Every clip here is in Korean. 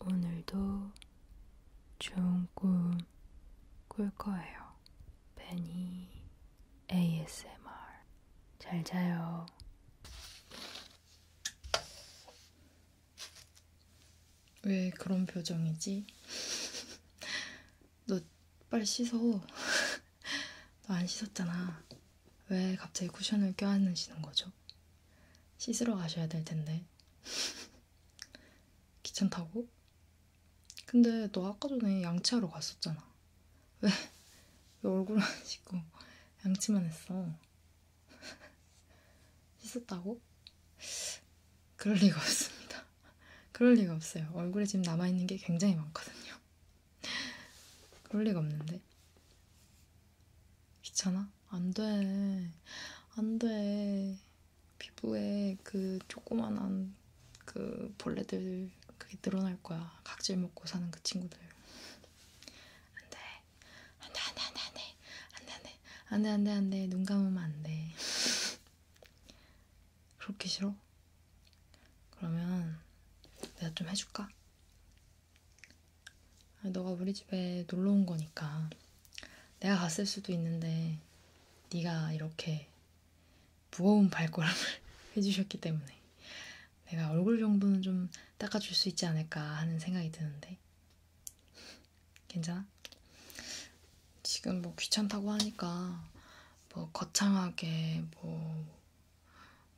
오늘도 좋은 꿈 꿀 거예요. 베니 ASMR. 잘 자요. 왜 그런 표정이지? 너 빨리 씻어. 너 안 씻었잖아. 왜 갑자기 쿠션을 껴안으시는 거죠? 씻으러 가셔야 될 텐데. 귀찮다고? 근데 너 아까 전에 양치하러 갔었잖아. 왜? 왜 얼굴 안 씻고 양치만 했어? 씻었다고? 그럴 리가 없습니다. 그럴 리가 없어요. 얼굴에 지금 남아있는 게 굉장히 많거든요. 그럴 리가 없는데. 귀찮아? 안 돼. 안 돼. 피부에 그 조그만한 그 벌레들 그게 늘어날 거야. 각질 먹고 사는 그 친구들. 안 돼. 안 돼, 안 돼, 안 돼, 안 돼. 안 돼, 안 돼. 안 돼, 안 돼, 안 돼. 눈 감으면 안 돼. 그렇게 싫어? 그러면 내가 좀 해줄까? 아, 너가 우리 집에 놀러 온 거니까 내가 갔을 수도 있는데 네가 이렇게 무거운 발걸음을 해주셨기 때문에 내가 얼굴 정도는 좀 닦아줄 수 있지 않을까 하는 생각이 드는데 괜찮아? 지금 뭐 귀찮다고 하니까 뭐 거창하게 뭐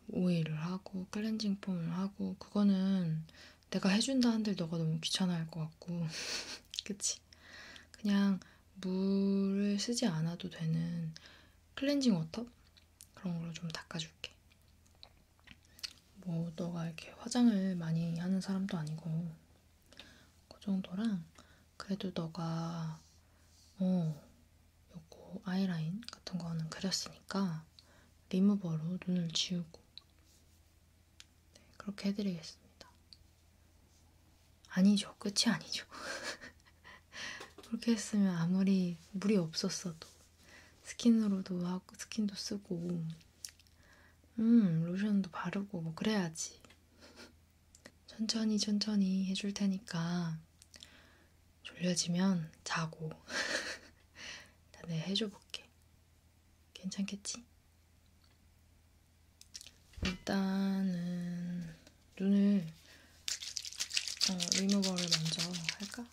오일을 하고 클렌징 폼을 하고 그거는 내가 해준다 한들 너가 너무 귀찮아할 것 같고 그치? 그냥 물을 쓰지 않아도 되는 클렌징 워터? 그런 걸로 좀 닦아줄게. 뭐 너가 이렇게 화장을 많이 하는 사람도 아니고 그 정도랑 그래도 너가 어 요거 아이라인 같은 거는 그렸으니까 리무버로 눈을 지우고 네, 그렇게 해드리겠습니다. 아니죠. 끝이 아니죠. 그렇게 했으면 아무리 물이 없었어도 스킨으로도 하고 스킨도 쓰고 음 로션도 바르고 뭐 그래야지 천천히 천천히 해줄 테니까 졸려지면 자고 다들 네, 해줘볼게 해줄게. 괜찮겠지? 일단은 눈을 어, 리무버를 먼저 할까?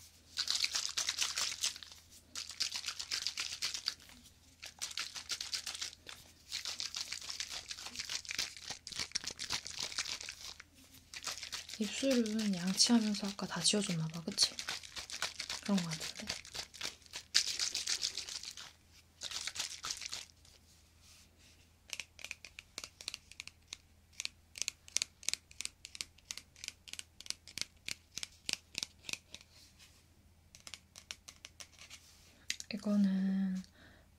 입술은 양치하면서 아까 다 지워줬나봐, 그치? 그런 거 같은데? 이거는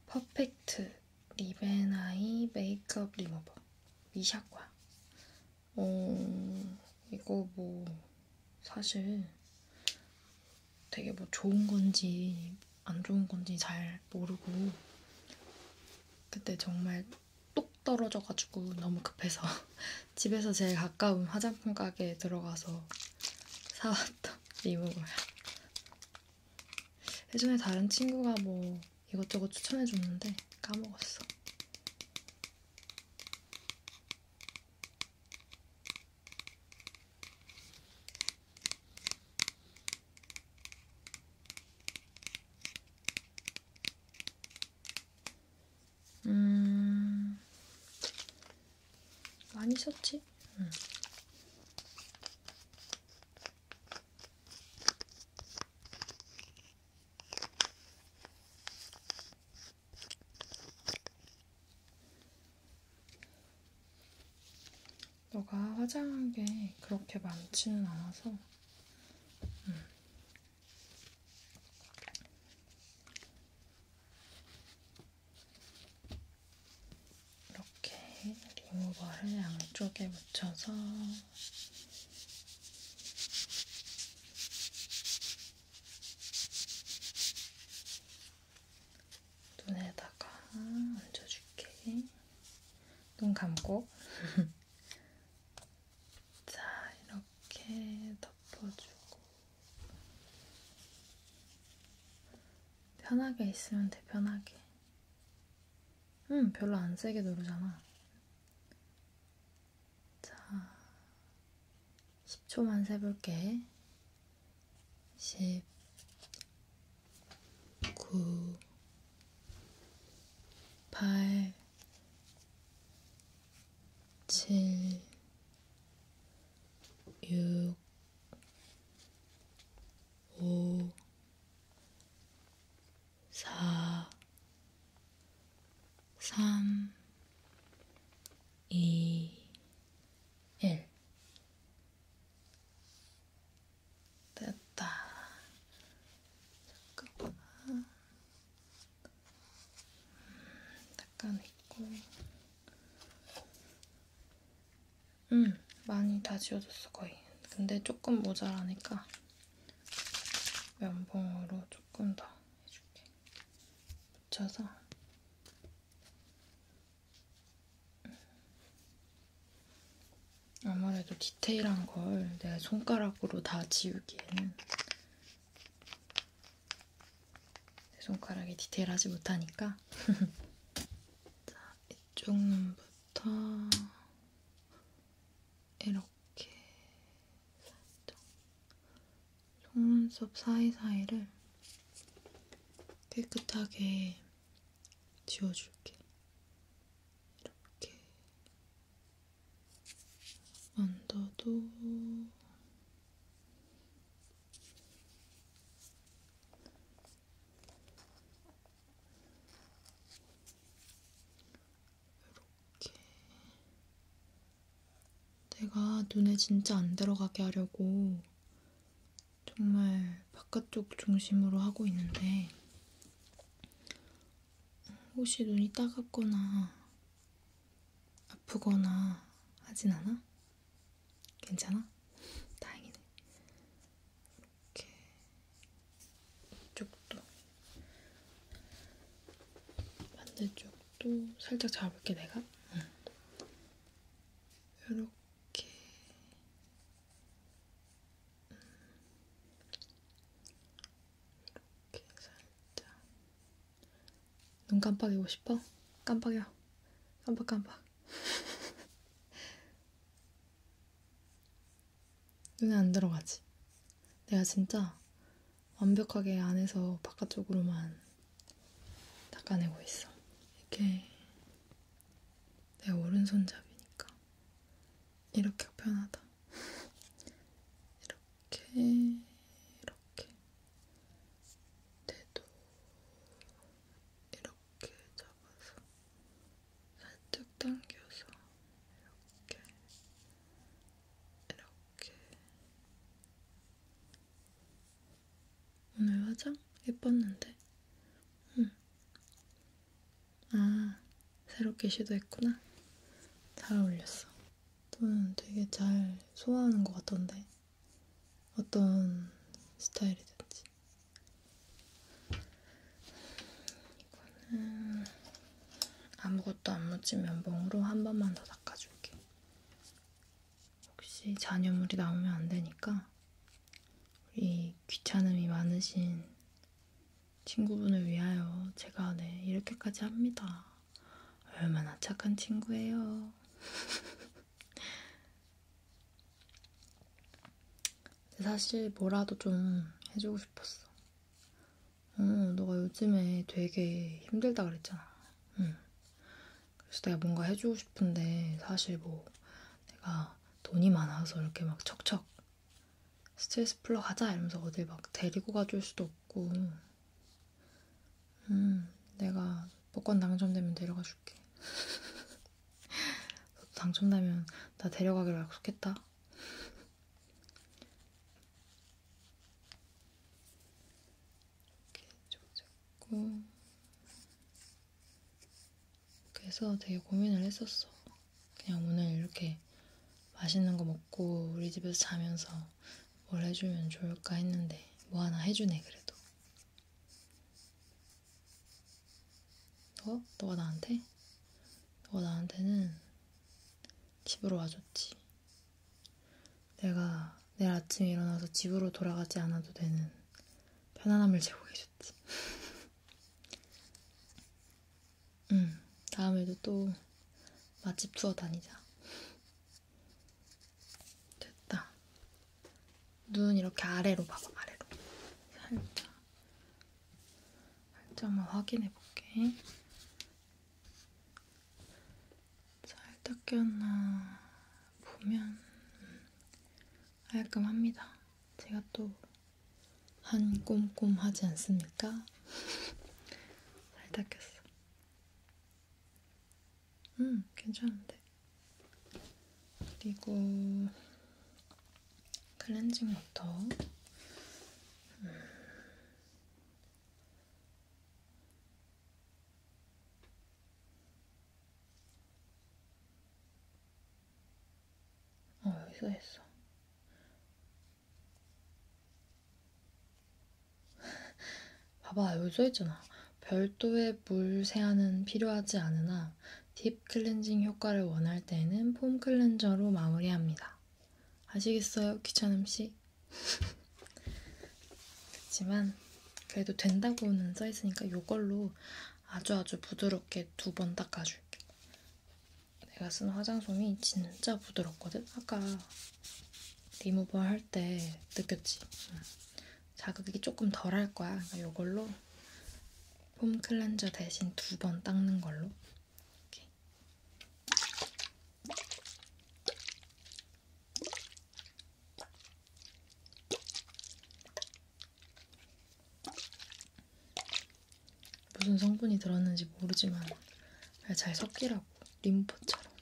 퍼펙트 리베나이 메이크업 리무버 미샤과 어, 이거 뭐, 사실 되게 뭐 좋은 건지 안 좋은 건지 잘 모르고, 그때 정말 똑 떨어져가지고 너무 급해서 집에서 제일 가까운 화장품 가게에 들어가서 사왔던 리무버야. 예전에 다른 친구가 뭐 이것저것 추천해줬는데 까먹었어. 음... 많이 썼지? 응. 너가 화장한 게 그렇게 많지는 않아서 음. 이렇게 리무버를 양쪽에 묻혀서 눈에다가 얹어줄게. 눈 감고. 자, 이렇게 덮어주고. 편하게 있으면 돼, 편하게. 응, 음, 별로 안 세게 누르잖아. 자, 10초만 세볼게. 10, 9, 8, 7, 6, 5, 4, 3, 2, 1. 됐다. 잠깐만. 약간 음, 있고. 음, 많이 다 지워졌어, 거의. 근데 조금 모자라니까 면봉으로 조금 더 해줄게. 붙여서 음. 아무래도 디테일한 걸내 손가락으로 다 지우기에는 내 손가락이 디테일하지 못하니까 자, 이쪽 눈부터 이렇게 이렇게 살짝 속눈썹 사이사이를 깨끗하게 지워줄게. 이렇게 언더도 이렇게 내가 눈에 진짜 안 들어가게 하려고 정말 바깥쪽 중심으로 하고 있는데 혹시 눈이 따갑거나 아프거나 하진 않아? 괜찮아? 다행이네. 이렇게 이쪽도 반대쪽도 살짝 잡을게 내가 응. 이렇게 이렇게 음. 살짝 눈 깜빡이고 싶어? 깜빡여 깜빡깜빡 눈에 안 들어가지. 내가 진짜 완벽하게 안에서 바깥쪽으로만 닦아내고 있어. 이게 내 오른손잡이니까 이렇게 편하다. 이렇게 이렇게 대도 이렇게 잡아서 살짝 당겨서 이렇게 이렇게 오늘 화장 예뻤는데? 응. 아 새롭게 시도했구나. 잘 어울렸어. 넌 되게 잘 소화하는 것 같던데 어떤 스타일이든지 이거는 아무것도 안 묻힌 면봉으로 한 번만 더 닦아줄게. 혹시 잔여물이 나오면 안 되니까 우리 귀찮음이 많으신 친구분을 위하여 제가 네 이렇게까지 합니다. 얼마나 착한 친구예요. 사실 뭐라도 좀 해주고 싶었어. 어, 너가 요즘에 되게 힘들다 그랬잖아. 응. 그래서 내가 뭔가 해주고 싶은데 사실 뭐 내가 돈이 많아서 이렇게 막 척척 스트레스 풀러 가자 이러면서 어딜 막 데리고 가줄 수도 없고 음 내가 복권 당첨되면 데려가 줄게 당첨되면 나 데려가기로 약속했다. 이렇게 조졌고 그래서 되게 고민을 했었어. 그냥 오늘 이렇게 맛있는 거 먹고 우리 집에서 자면서 뭘 해주면 좋을까 했는데 뭐 하나 해주네 그래도 너? 어? 너가 나한테? 너가 나한테는 집으로 와줬지. 내가 내일 아침에 일어나서 집으로 돌아가지 않아도 되는 편안함을 제공해줬지. 응, 다음에도 또 맛집 투어 다니자. 됐다. 눈 이렇게 아래로 봐봐, 아래로. 살짝. 살짝만 확인해 볼게. 살짝 꼈나 보면 음, 깔끔합니다. 제가 또 한 꼼꼼 하지 않습니까? 살짝 꼈어. 음, 괜찮은데. 그리고 클렌징 워터 음. 어, 여기 써있어. 봐봐, 여기 써있잖아. 별도의 물 세안은 필요하지 않으나 딥 클렌징 효과를 원할 때는 폼 클렌저로 마무리합니다. 아시겠어요? 귀찮음씨? 그렇지만 그래도 된다고는 써있으니까 이걸로 아주 아주 부드럽게 두 번 닦아줄게. 내가 쓴 화장솜이 진짜 부드럽거든? 아까 리무버 할 때 느꼈지? 자극이 조금 덜 할 거야. 그러니까 이걸로 폼 클렌저 대신 두 번 닦는 걸로. 이렇게. 무슨 성분이 들었는지 모르지만 잘 섞이라고 림프처럼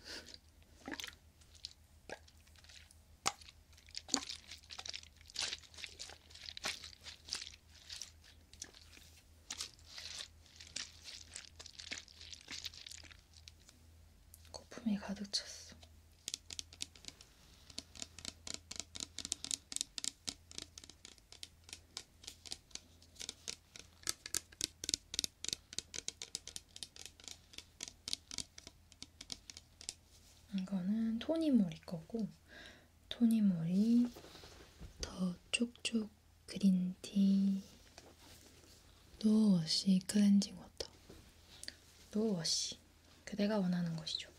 거품이 가득 찼어. 이거는 토니모리 거고 토니모리 더 쪽쪽 그린티 노워시 클렌징 워터 노워시 그대가 원하는 것이죠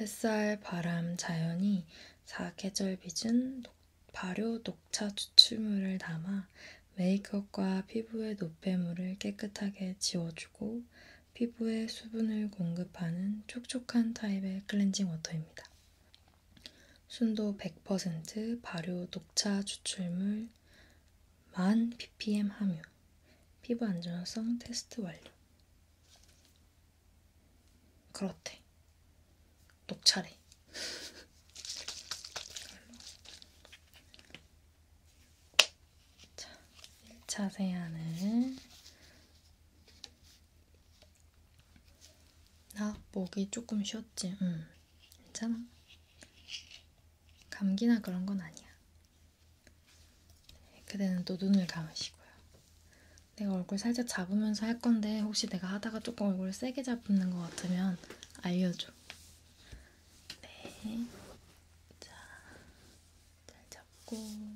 햇살, 바람, 자연이 사계절 빚은 발효 녹차 추출물을 담아 메이크업과 피부의 노폐물을 깨끗하게 지워주고 피부에 수분을 공급하는 촉촉한 타입의 클렌징 워터입니다. 순도 100% 발효 녹차 추출물 만 ppm 함유 피부 안전성 테스트 완료 그렇대 녹차래 자, 1차 세안을 나 목이 조금 쉬었지? 응, 괜찮아. 감기나 그런 건 아니야. 그대는 또 눈을 감으시고요. 내가 얼굴 살짝 잡으면서 할 건데 혹시 내가 하다가 조금 얼굴을 세게 잡는 것 같으면 알려줘. 네. 자, 잘 잡고.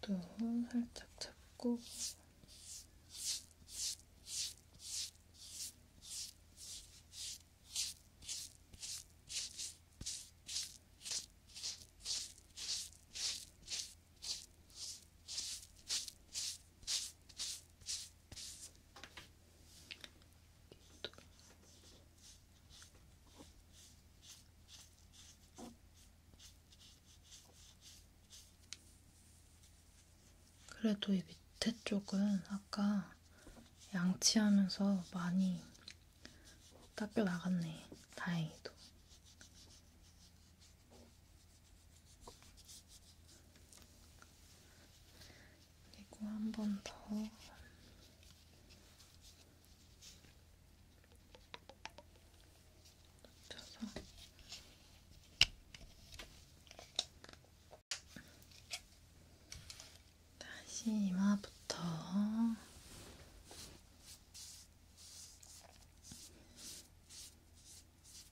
쪽도 살짝 잡고 그래도 이 밑에 쪽은 아까 양치하면서 많이 닦여 나갔네. 다행히도. 그리고 한 번 더. 쳐서 다시 이마부터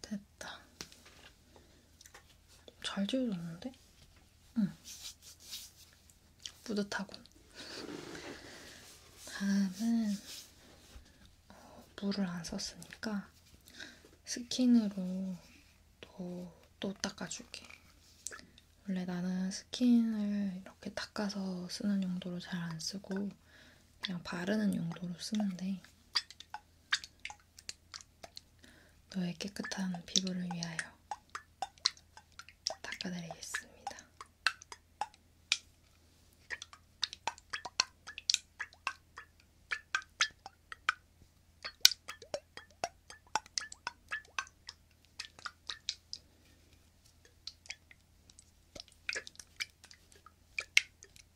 됐다. 잘 지워졌는데? 응. 뿌듯하군. 다음은 어, 물을 안 썼으니까 스킨으로 또, 또 닦아줄게. 원래 나는 스킨을 이렇게 닦아서 쓰는 용도로 잘 안 쓰고 그냥 바르는 용도로 쓰는데 너의 깨끗한 피부를 위하여 닦아드리겠습니다.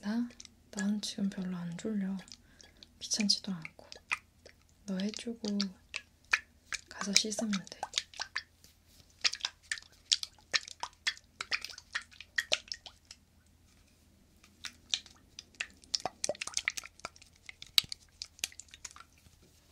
나? 난 지금 별로 안 졸려. 귀찮지도 않고. 너 해주고 가서 씻으면 돼.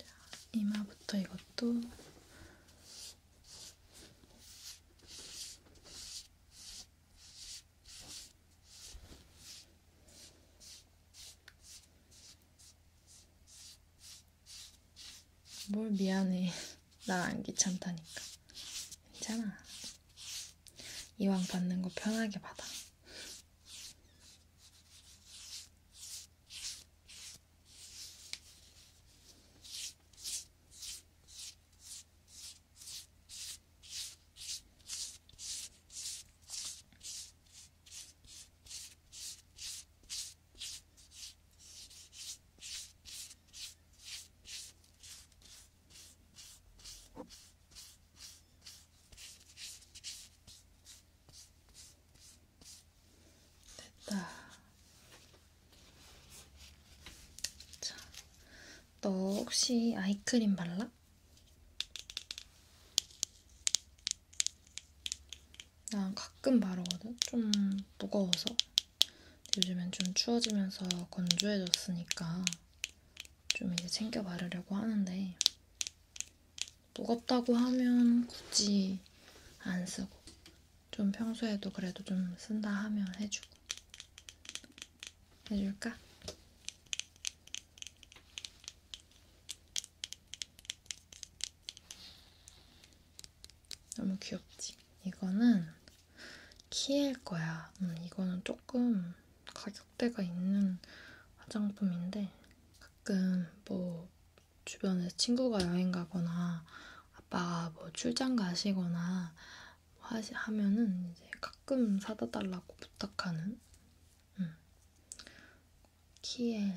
자, 이마부터 이것도 뭘 미안해. 나 안 귀찮다니까. 괜찮아. 이왕 받는 거 편하게 받아. 됐다. 자, 너 혹시 아이크림 발라? 난 가끔 바르거든? 좀 무거워서. 요즘엔 좀 추워지면서 건조해졌으니까 좀 이제 챙겨 바르려고 하는데 무겁다고 하면 굳이 안 쓰고 좀 평소에도 그래도 좀 쓴다 하면 해주고 해줄까? 너무 귀엽지? 이거는 키엘 거야. 음, 이거는 조금 가격대가 있는 화장품인데 가끔 뭐 주변에 친구가 여행 가거나 아빠가 뭐 출장 가시거나 하시, 하면은 이제 가끔 사다 달라고 부탁하는 음. 키엘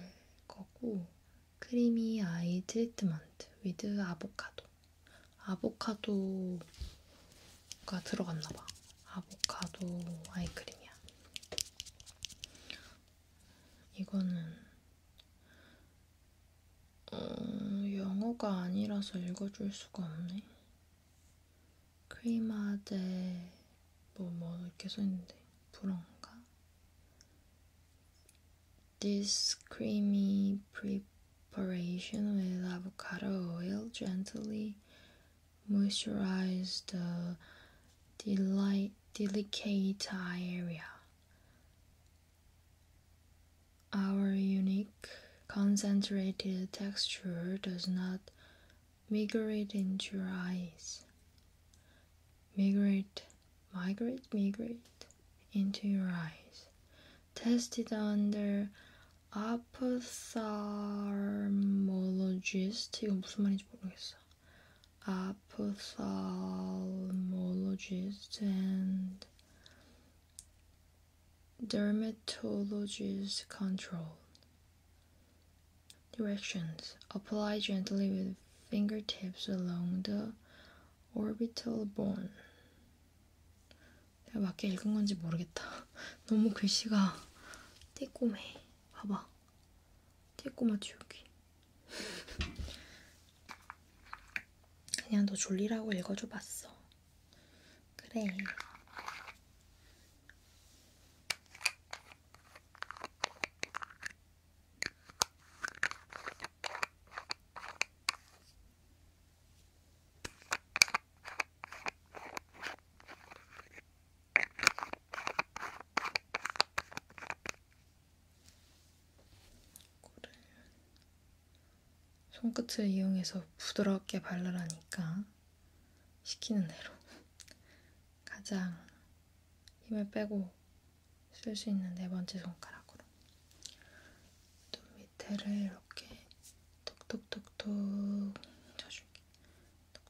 거고 크리미 아이 트리트먼트 위드 아보카도 아보카도가 들어갔나봐. 아보카도 아이크림이야. 이거는 어, 영어가 아니라서 읽어줄 수가 없네. 크리마데 뭐뭐 뭐, 이렇게 써있는데 불어인가? This creamy pre preparation with avocado oil gently moisturize the deli delicate eye area. Our unique concentrated texture does not migrate into your eyes. Migrate, migrate, migrate into your eyes tested under ophthalmologist 이거 무슨 말인지 모르겠어. ophthalmologist and dermatologist control. Directions. Apply gently with fingertips along the orbital bone. 내가 맞게 읽은 건지 모르겠다. 너무 글씨가 띠꼬매. 봐봐. 띠꼬마 지우기. 그냥 너 졸리라고 읽어줘 봤어. 그래. 손끝을 이용해서 부드럽게 바르라니까 시키는 대로 가장 힘을 빼고 쓸 수 있는 네 번째 손가락으로 눈 밑에를 이렇게 톡톡톡톡 쳐줄게.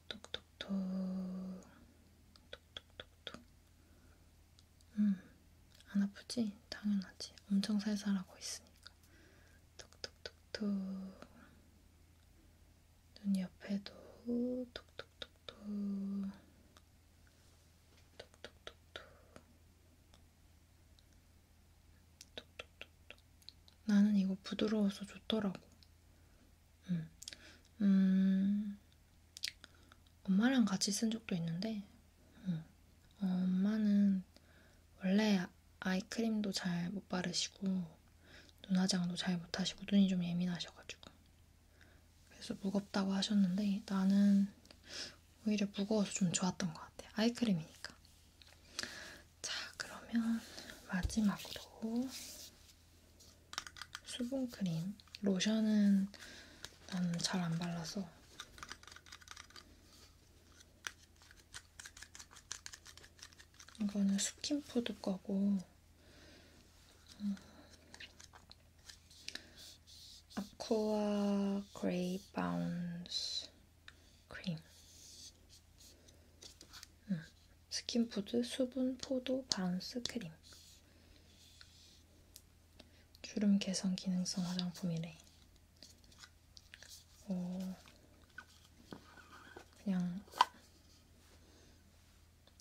톡톡톡톡. 톡톡톡톡. 음, 안 아프지? 당연하지. 엄청 살살하고 있으니까. 톡톡톡톡. 눈 옆에도 톡톡톡톡. 톡톡톡톡. 나는 이거 부드러워서 좋더라고. 음. 음. 엄마랑 같이 쓴 적도 있는데, 음. 어, 엄마는 원래 아이크림도 잘 못 바르시고, 눈화장도 잘 못 하시고, 눈이 좀 예민하셔가지고. 그래서 무겁다고 하셨는데, 나는 오히려 무거워서 좀 좋았던 것 같아요. 아이크림이니까. 자, 그러면 마지막으로 수분크림. 로션은 나는 잘 안 발라서. 이거는 스킨푸드 거고 음, 아쿠아 그레이 바운스 크림 음. 스킨푸드 수분 포도 바운스 크림 주름 개선 기능성 화장품이래 오. 어, 그냥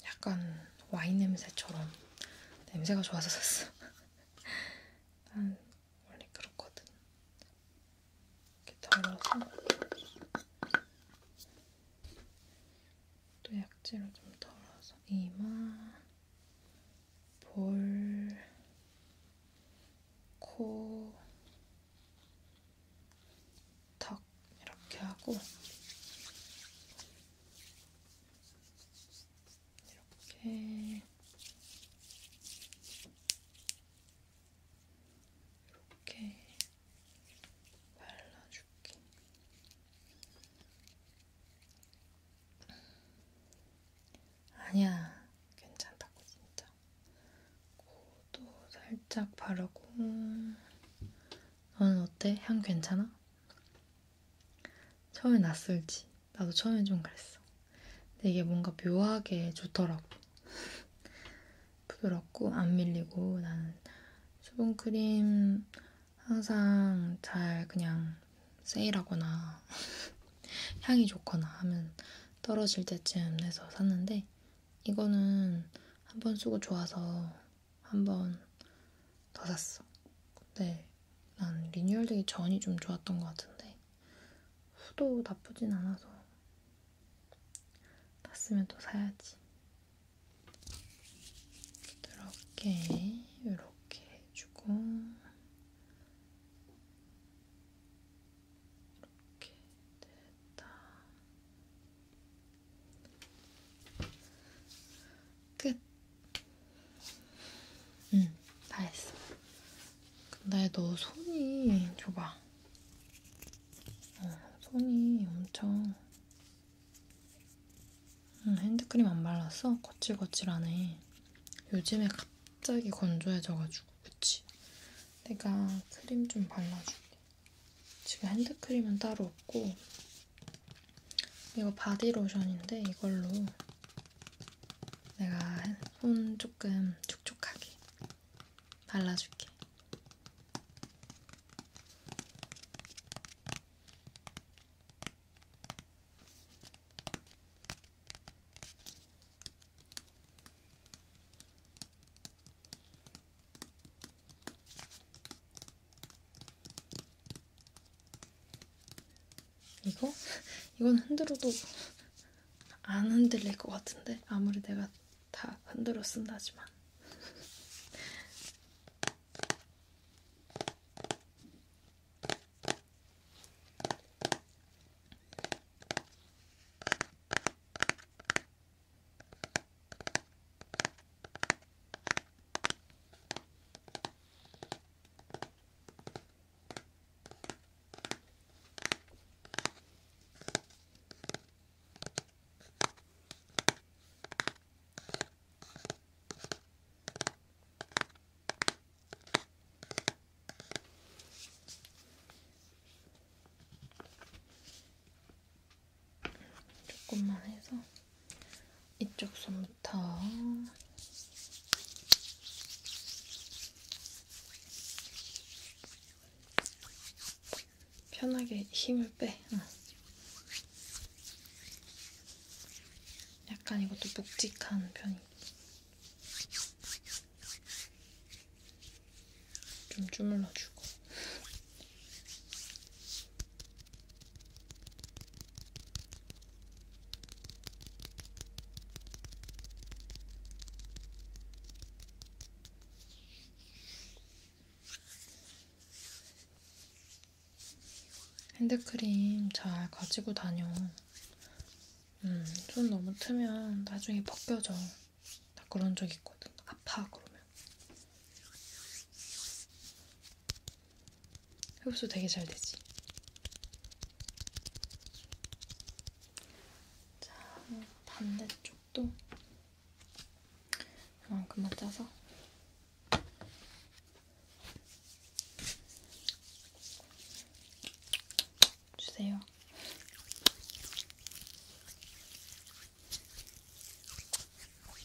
약간 와인 냄새처럼 냄새가 좋아서 샀어. 난 원래 그렇거든. 이렇게 덜어서 또 약지로 좀 덜어서 이마, 볼, 코, 턱 이렇게 하고 이렇게 이렇게 발라줄게. 아니야, 괜찮다고 진짜. 코도 살짝 바르고. 너는 음, 어때? 향 괜찮아? 처음에 낯설지. 나도 처음엔 좀 그랬어. 근데 이게 뭔가 묘하게 좋더라고. 부드럽고 안 밀리고 나는 수분크림 항상 잘 그냥 세일하거나 향이 좋거나 하면 떨어질 때쯤 해서 샀는데 이거는 한 번 쓰고 좋아서 한 번 더 샀어. 근데 난 리뉴얼되기 전이 좀 좋았던 것 같은데 후도 나쁘진 않아서 샀으면 또 사야지. 이렇게 이렇게 해주고 이렇게 됐다. 끝. 응, 다 했어. 근데 너 손이 줘봐. 어, 손이 엄청. 응, 핸드크림 안 발랐어? 거칠거칠하네. 요즘에 갑자기 건조해져가지고, 그치? 내가 크림 좀 발라줄게. 지금 핸드크림은 따로 없고, 이거 바디로션인데 이걸로 내가 손 조금 촉촉하게 발라줄게. 이거? 이건 흔들어도 안 흔들릴 것 같은데 아무리 내가 다 흔들어 쓴다지만 조금만 해서 이쪽 손부터 편하게 힘을 빼. 응. 약간 이것도 묵직한 편이. 좀 주물러주고. 핸드크림 잘 가지고 다녀. 음, 손 너무 트면 나중에 벗겨져. 나 그런 적 있거든. 아파, 그러면. 흡수 되게 잘 되지. 자, 뭐 반대쪽도 그만큼만 짜서 주세요.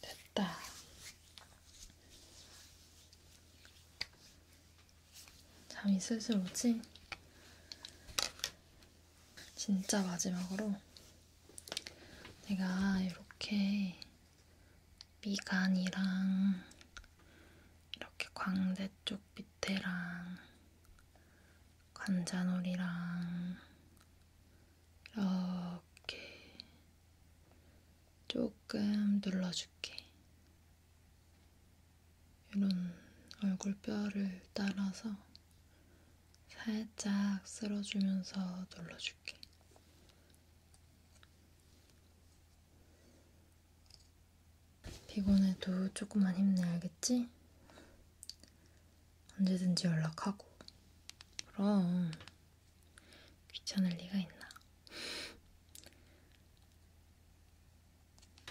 됐다. 잠이 슬슬 오지? 진짜 마지막으로 내가 이렇게 미간이랑 이렇게 광대 쪽 밑에랑 관자놀이랑 이렇게 조금 눌러줄게. 이런 얼굴뼈를 따라서 살짝 쓸어주면서 눌러줄게. 피곤해도 조금만 힘내 알겠지? 언제든지 연락하고. 그럼 귀찮을 리가 있나?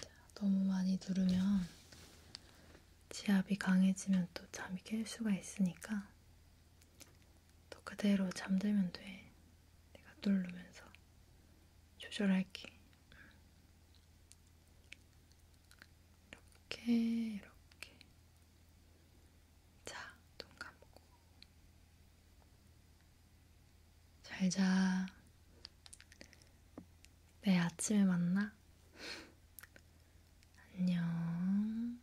자, 너무 많이 누르면 지압이 강해지면 또 잠이 깰 수가 있으니까 또 그대로 잠들면 돼. 내가 누르면서 조절할게. 이렇게 이렇게 자, 눈 감고 잘자 내일 아침에 만나 안녕